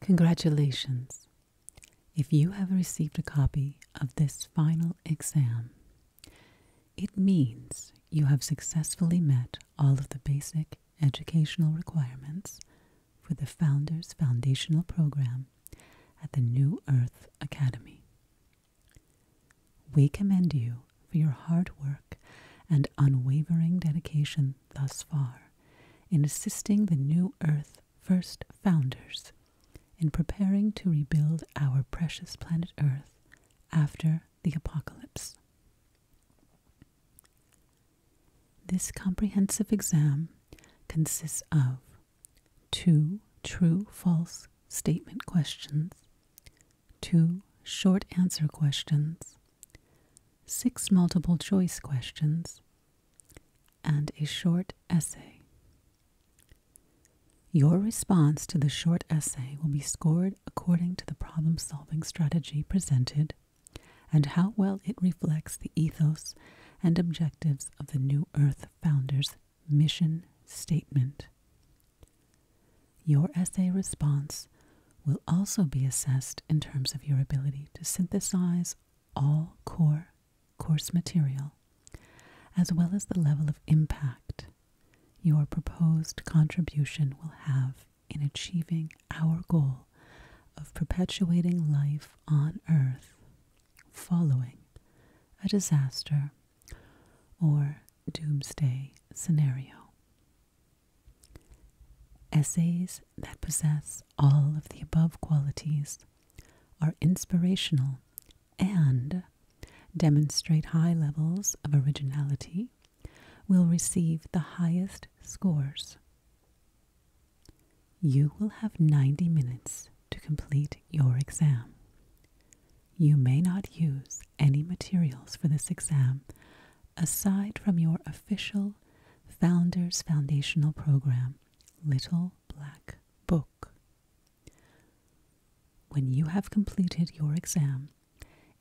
Congratulations! If you have received a copy of this final exam, it means you have successfully met all of the basic educational requirements for the Founders Foundational Program at the New Earth Academy. We commend you for your hard work and unwavering dedication thus far in assisting the New Earth first founders in preparing to rebuild our precious planet Earth after the apocalypse. This comprehensive exam consists of two true false statement questions, two short answer questions, six multiple choice questions, and a short essay. Your response to the short essay will be scored according to the problem solving strategy presented and how well it reflects the ethos and objectives of the New Earth Founders mission statement. Your essay response will also be assessed in terms of your ability to synthesize all core course material, as well as the level of impact your proposed contribution will have in achieving our goal of perpetuating life on Earth following a disaster or doomsday scenario. Essays that possess all of the above qualities are inspirational and demonstrate high levels of originality, will receive the highest scores. You will have 90 minutes to complete your exam. You may not use any materials for this exam aside from your official Founders Foundational Program, Little Black Book. When you have completed your exam,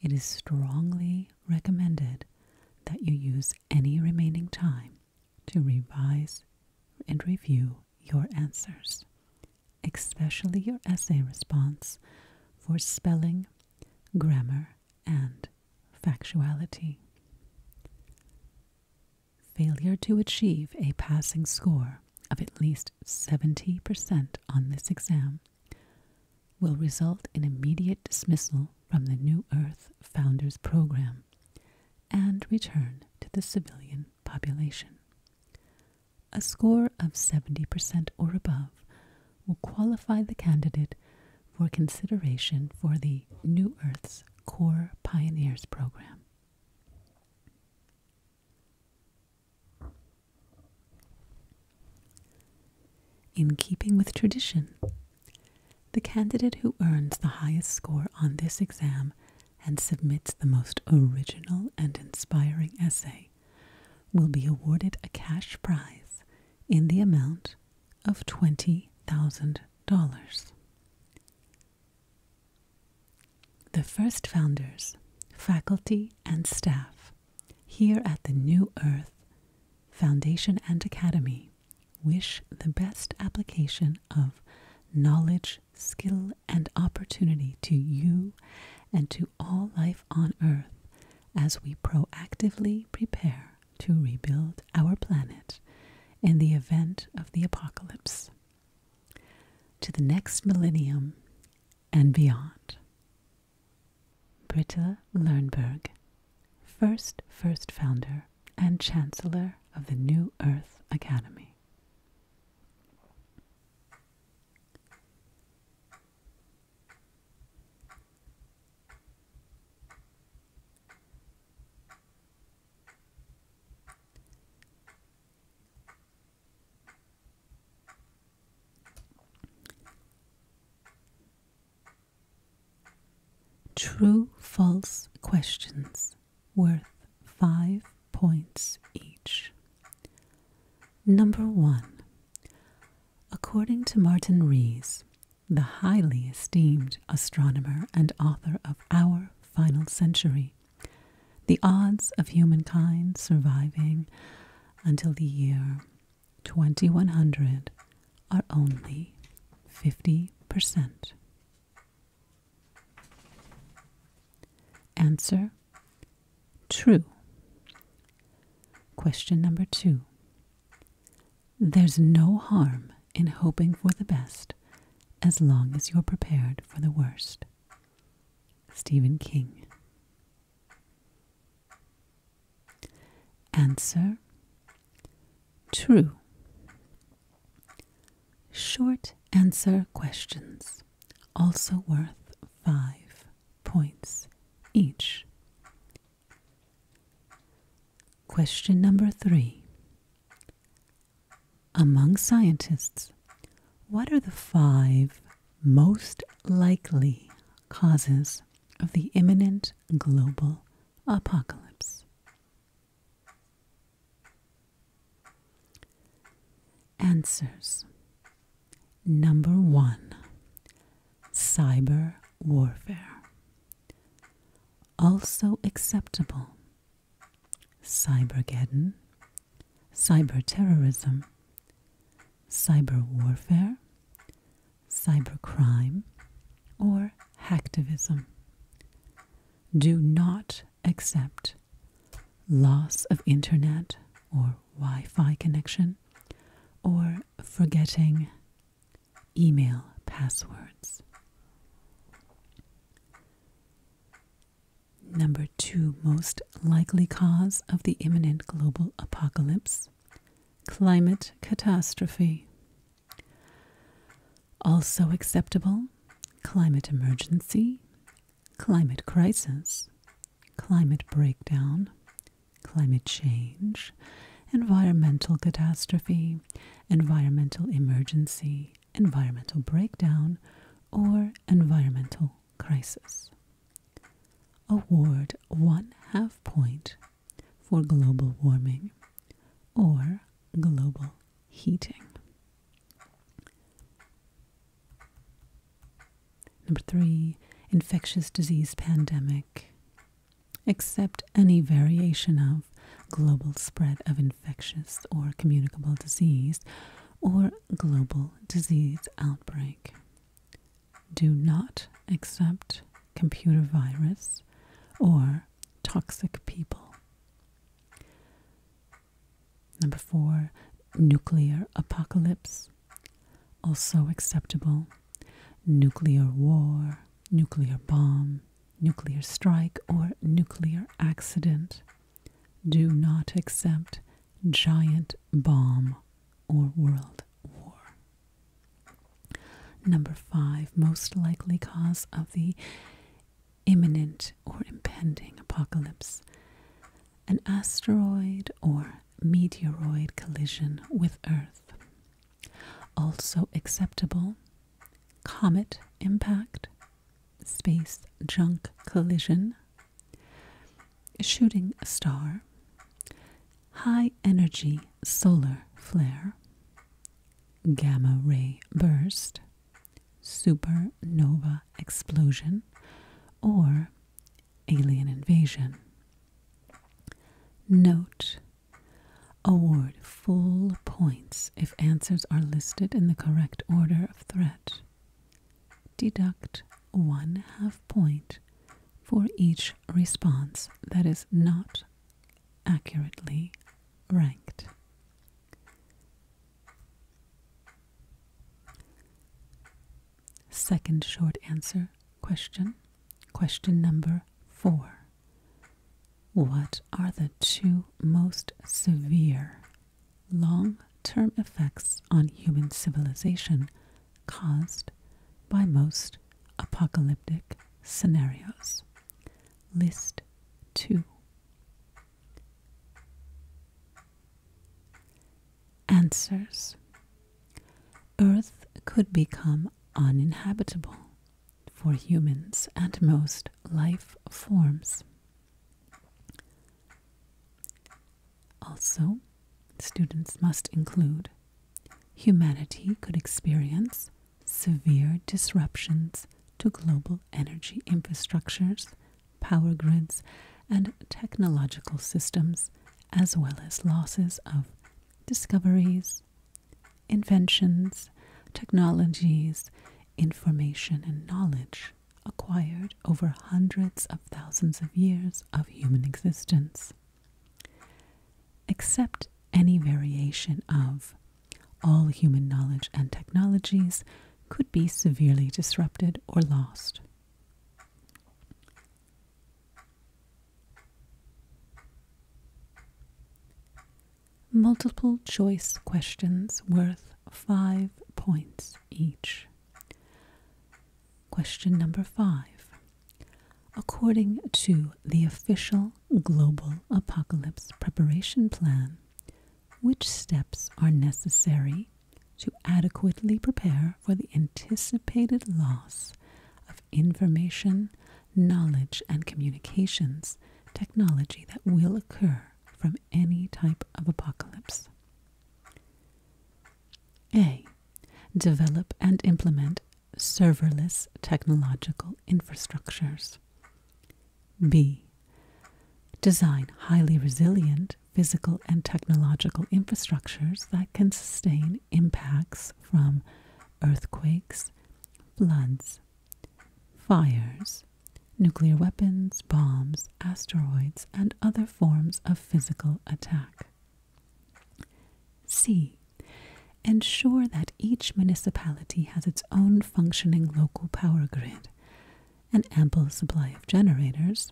it is strongly recommended that you use any remaining time to revise and review your answers, especially your essay response for spelling grammar, and factuality. Failure to achieve a passing score of at least 70% on this exam will result in immediate dismissal from the New Earth Founders Program and return to the civilian population. A score of 70% or above will qualify the candidate for consideration for the New Earth's Core Pioneers Program. In keeping with tradition, the candidate who earns the highest score on this exam and submits the most original and inspiring essay will be awarded a cash prize in the amount of $20,000. The first founders, faculty, and staff here at the New Earth Foundation and Academy wish the best application of knowledge, skill, and opportunity to you and to all life on Earth as we proactively prepare to rebuild our planet in the event of the apocalypse. To the next millennium and beyond. Britta Lernberg, first first founder and chancellor of the New Earth Academy. True false questions worth five points each. Number one, according to Martin Rees, the highly esteemed astronomer and author of Our Final Century, the odds of humankind surviving until the year 2100 are only 50%. Answer true? Question number two. There's no harm in hoping for the best as long as you're prepared for the worst. Stephen King. Answer True. Short answer questions, also worth five points each. Question number three. Among scientists, what are the five most likely causes of the imminent global apocalypse? Answers Number one Cyber warfare. Also acceptable Cybergeddon, cyberterrorism, cyber warfare, cybercrime, or hacktivism. Do not accept loss of internet or Wi Fi connection or forgetting email passwords. Number two most likely cause of the imminent global apocalypse climate catastrophe. Also acceptable climate emergency climate crisis, climate breakdown, climate change, environmental catastrophe, environmental emergency, environmental breakdown, or environmental crisis. Award one half point for global warming or global heating. Number three, infectious disease pandemic. Accept any variation of global spread of infectious or communicable disease or global disease outbreak. Do not accept computer virus or toxic people. Number four, nuclear apocalypse, also acceptable. Nuclear war, nuclear bomb, nuclear strike, or nuclear accident. Do not accept giant bomb or world war. Number five, most likely cause of the imminent or impending apocalypse an asteroid or meteoroid collision with Earth. Also acceptable, comet impact, space junk collision, shooting star, high energy solar flare, gamma ray burst, supernova explosion, or Alien Invasion. Note Award full points if answers are listed in the correct order of threat. Deduct one half point for each response that is not accurately ranked. Second short answer question. Question number four. What are the two most severe long term effects on human civilization caused by most apocalyptic scenarios? List two answers. Earth could become uninhabitable for humans and most life forms. Also, students must include humanity could experience severe disruptions to global energy infrastructures power grids, and technological systems, as well as losses of discoveries, inventions, technologies, information, and knowledge acquired over hundreds of thousands of years of human existence. Except any variation of all human knowledge and technologies could be severely disrupted or lost. Multiple choice questions worth five points each. Question number five. According to the official Global Apocalypse Preparation Plan, which steps are necessary to adequately prepare for the anticipated loss of information, knowledge, and communications technology that will occur from any type of apocalypse. A. Develop and implement serverless technological infrastructures. B. Design highly resilient physical and technological infrastructures that can sustain impacts from earthquakes, floods, fires, nuclear weapons, bombs, asteroids, and other forms of physical attack. C. Ensure that each municipality has its own functioning local power grid, an ample supply of generators,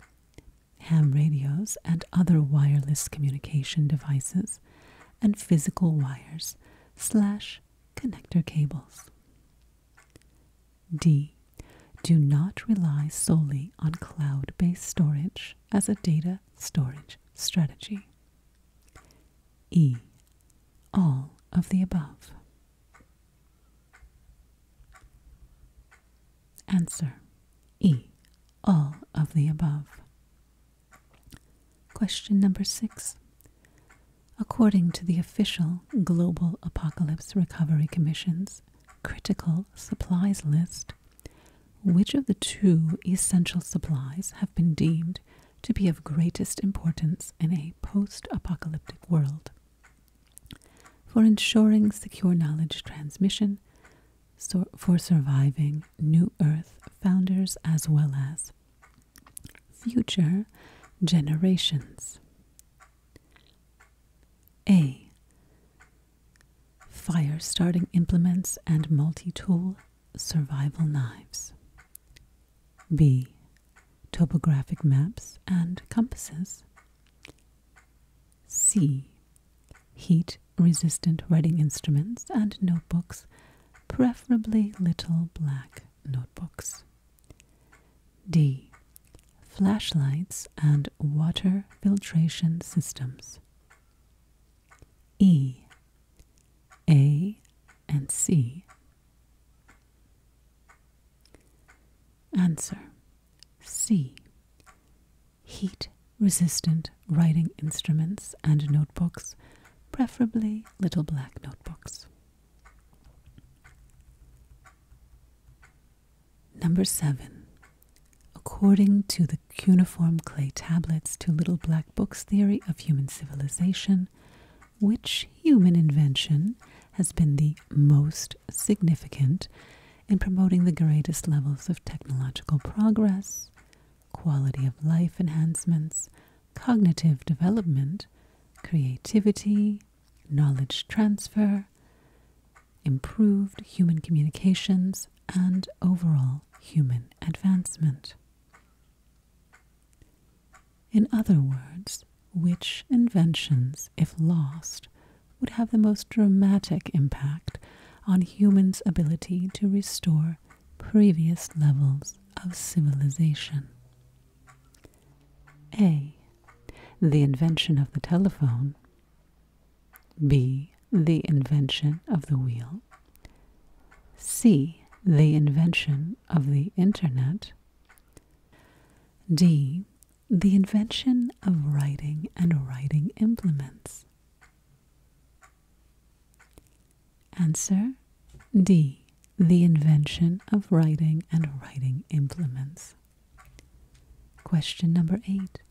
ham radios, and other wireless communication devices, and physical wires slash connector cables. D. Do not rely solely on cloud based storage as a data storage strategy. E. All of the above. Answer E. All of the above. Question number six. According to the official Global Apocalypse Recovery Commission's critical supplies list, which of the two essential supplies have been deemed to be of greatest importance in a post apocalyptic world? for ensuring secure knowledge transmission, for surviving New Earth founders as well as future generations. A. Fire starting implements and multi tool survival knives. B. Topographic maps and compasses. C. Heat resistant writing instruments and notebooks, preferably little black notebooks. D. Flashlights and water filtration systems. E, A, and C. Answer C. Heat resistant writing instruments and notebooks, preferably little black notebooks. Number seven. According to the cuneiform clay tablets to Little Black Book's theory of human civilization, which human invention has been the most significant in promoting the greatest levels of technological progress, quality of life enhancements, cognitive development, creativity, knowledge transfer, improved human communications, and overall human advancement. In other words, which inventions, if lost, would have the most dramatic impact on humans' ability to restore previous levels of civilization? A. The invention of the telephone. B. The invention of the wheel. C. The invention of the internet. D. The invention of writing and writing implements. Answer D. The invention of writing and writing implements. Question number eight.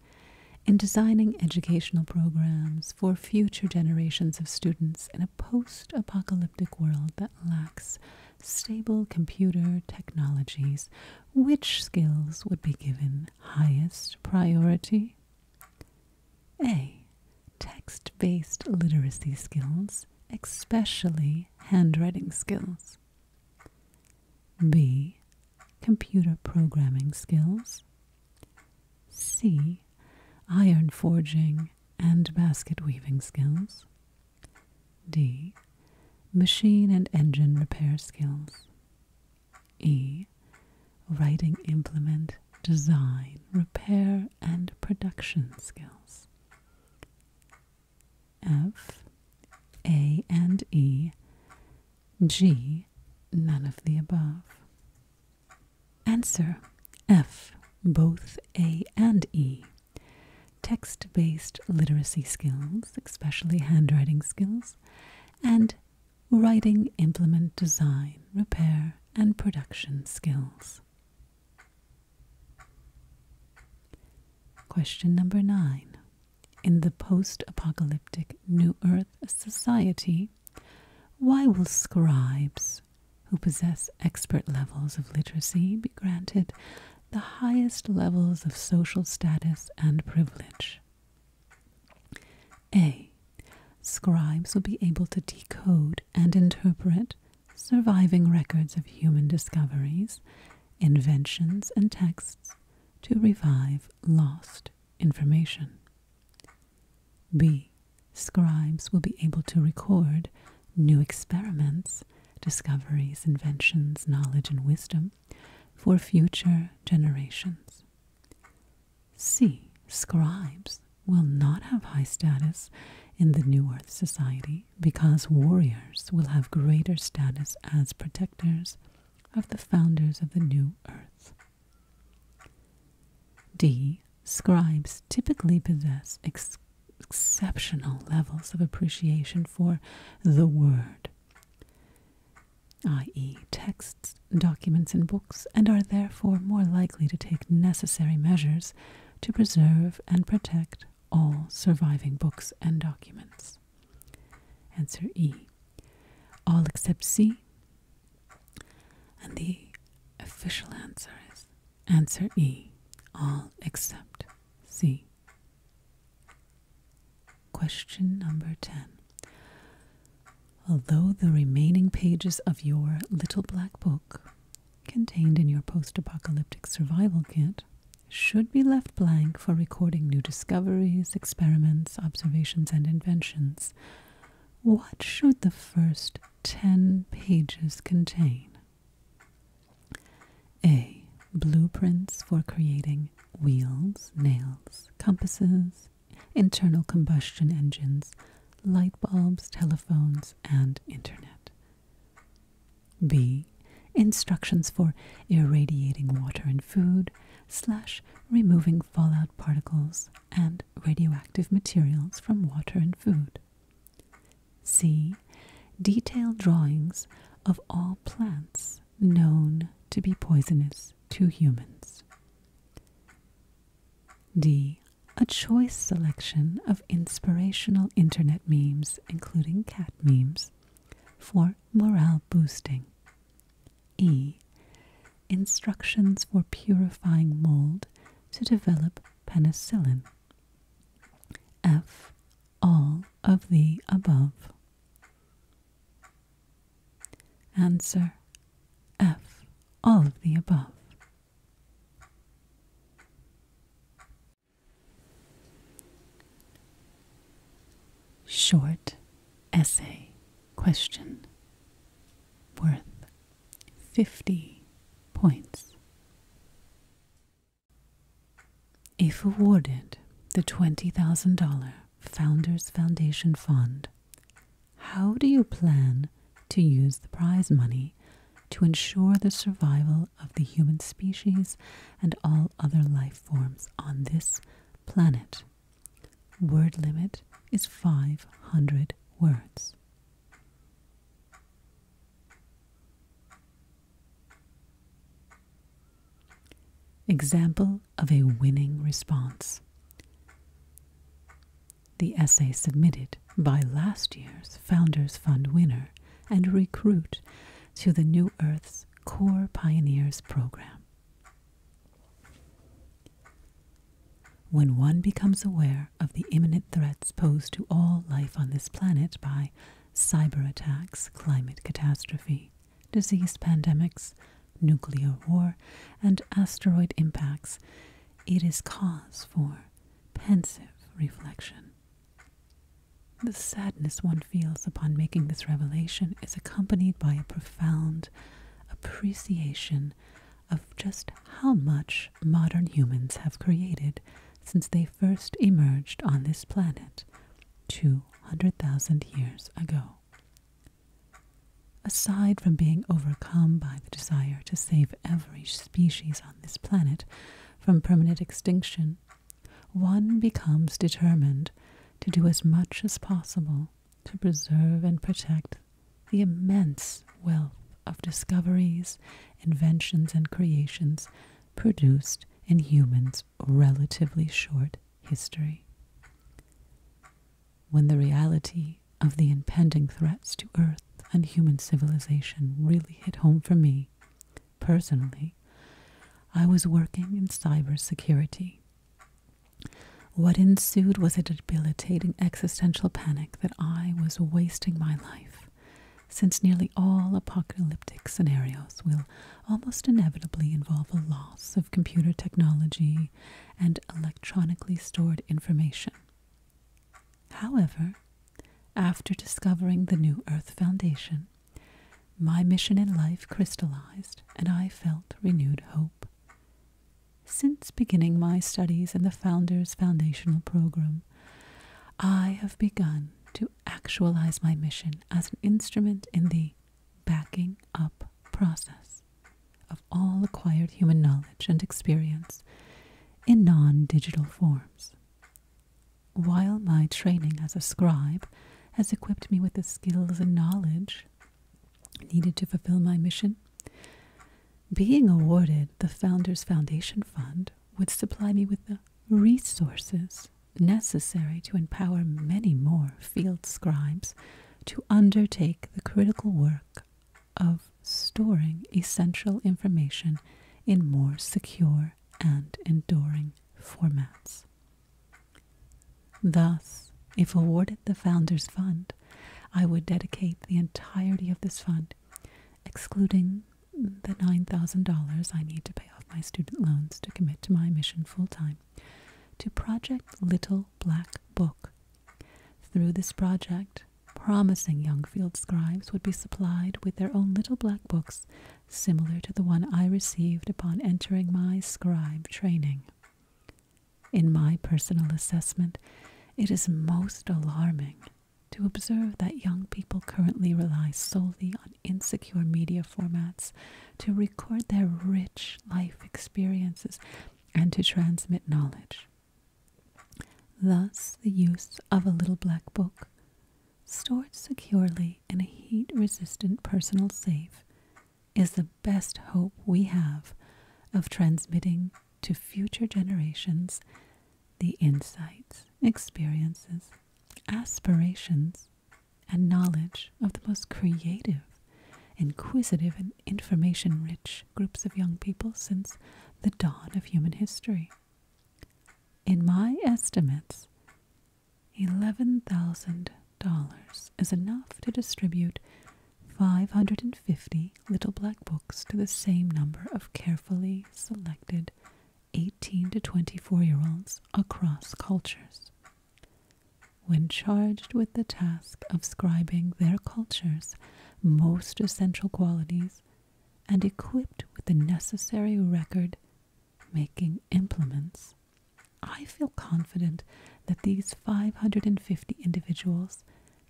In designing educational programs for future generations of students in a post apocalyptic world that lacks stable computer technologies, which skills would be given highest priority? A. Text based literacy skills, especially handwriting skills. B. Computer programming skills. C. Iron forging and basket weaving skills. D. Machine and engine repair skills. E. Writing implement design, repair, and production skills. F. A and E. G. None of the above. Answer F. Both A and E text based literacy skills, especially handwriting skills, and writing implement design, repair, and production skills. Question number nine. In the post apocalyptic New Earth society, why will scribes who possess expert levels of literacy be granted the highest levels of social status and privilege. A. Scribes will be able to decode and interpret surviving records of human discoveries, inventions, and texts to revive lost information. B. Scribes will be able to record new experiments discoveries, inventions, knowledge, and wisdom for future generations. C. Scribes will not have high status in the New Earth Society because warriors will have greater status as protectors of the founders of the New Earth. D. Scribes typically possess exceptional levels of appreciation for the Word, i.e., texts, documents, and books, and are therefore more likely to take necessary measures to preserve and protect all surviving books and documents. Answer E. All except C. And the official answer is answer E. All except C. Question number 10. Although the remaining pages of your little black book contained in your post apocalyptic survival kit should be left blank for recording new discoveries, experiments, observations, and inventions, what should the first 10 pages contain? A. Blueprints for creating wheels, nails, compasses, internal combustion engines, light bulbs, telephones, and internet. B. Instructions for irradiating water and food, slash removing fallout particles and radioactive materials from water and food. C. Detailed drawings of all plants known to be poisonous to humans. D. A choice selection of inspirational internet memes, including cat memes, for morale boosting. E. Instructions for purifying mold to develop penicillin. F all of the above? Answer F. All of the above. Short essay question worth 50 points. If awarded the $20,000 Founders Foundation Fund, how do you plan to use the prize money to ensure the survival of the human species and all other life forms on this planet? Word limit is 500 words. Example of a winning response. The essay submitted by last year's Founders Fund winner and recruit to the New Earth's Core Pioneers program. When one becomes aware of the imminent threats posed to all life on this planet by cyber attacks, climate catastrophe, disease pandemics, nuclear war, and asteroid impacts, it is cause for pensive reflection. The sadness one feels upon making this revelation is accompanied by a profound appreciation of just how much modern humans have created since they first emerged on this planet 200,000 years ago. Aside from being overcome by the desire to save every species on this planet from permanent extinction, one becomes determined to do as much as possible to preserve and protect the immense wealth of discoveries, inventions, and creations produced in humans' relatively short history. When the reality of the impending threats to Earth and human civilization really hit home for me, personally, I was working in cybersecurity. What ensued was a debilitating existential panic that I was wasting my life since nearly all apocalyptic scenarios will almost inevitably involve a loss of computer technology and electronically stored information. However, after discovering the New Earth Foundation, my mission in life crystallized and I felt renewed hope. Since beginning my studies in the Founders Foundational Program, I have begun to actualize my mission as an instrument in the backing up process of all acquired human knowledge and experience in non digital forms. While my training as a scribe has equipped me with the skills and knowledge needed to fulfill my mission, being awarded the Founders Foundation Fund would supply me with the resources necessary to empower many more field scribes to undertake the critical work of storing essential information in more secure and enduring formats. Thus, if awarded the Founders Fund, I would dedicate the entirety of this fund, excluding the $9,000 I need to pay off my student loans to commit to my mission full time to Project Little Black Book. Through this project, promising young field scribes would be supplied with their own little black books similar to the one I received upon entering my scribe training. In my personal assessment, it is most alarming to observe that young people currently rely solely on insecure media formats to record their rich life experiences and to transmit knowledge. Thus, the use of a little black book, stored securely in a heat resistant personal safe, is the best hope we have of transmitting to future generations the insights, experiences, aspirations, and knowledge of the most creative, inquisitive, and information rich groups of young people since the dawn of human history. In my estimates, $11,000 is enough to distribute 550 little black books to the same number of carefully selected 18 to 24 year olds across cultures. When charged with the task of scribing their culture's most essential qualities and equipped with the necessary record making implements, I feel confident that these 550 individuals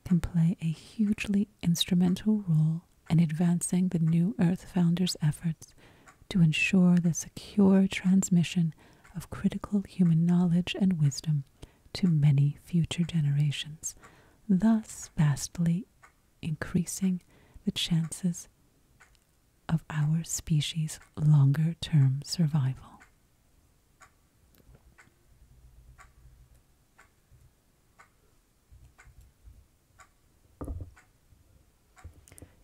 can play a hugely instrumental role and advancing the New Earth Founders' efforts to ensure the secure transmission of critical human knowledge and wisdom to many future generations, thus vastly increasing the chances of our species' longer term survival.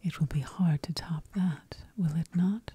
It will be hard to top that, will it not?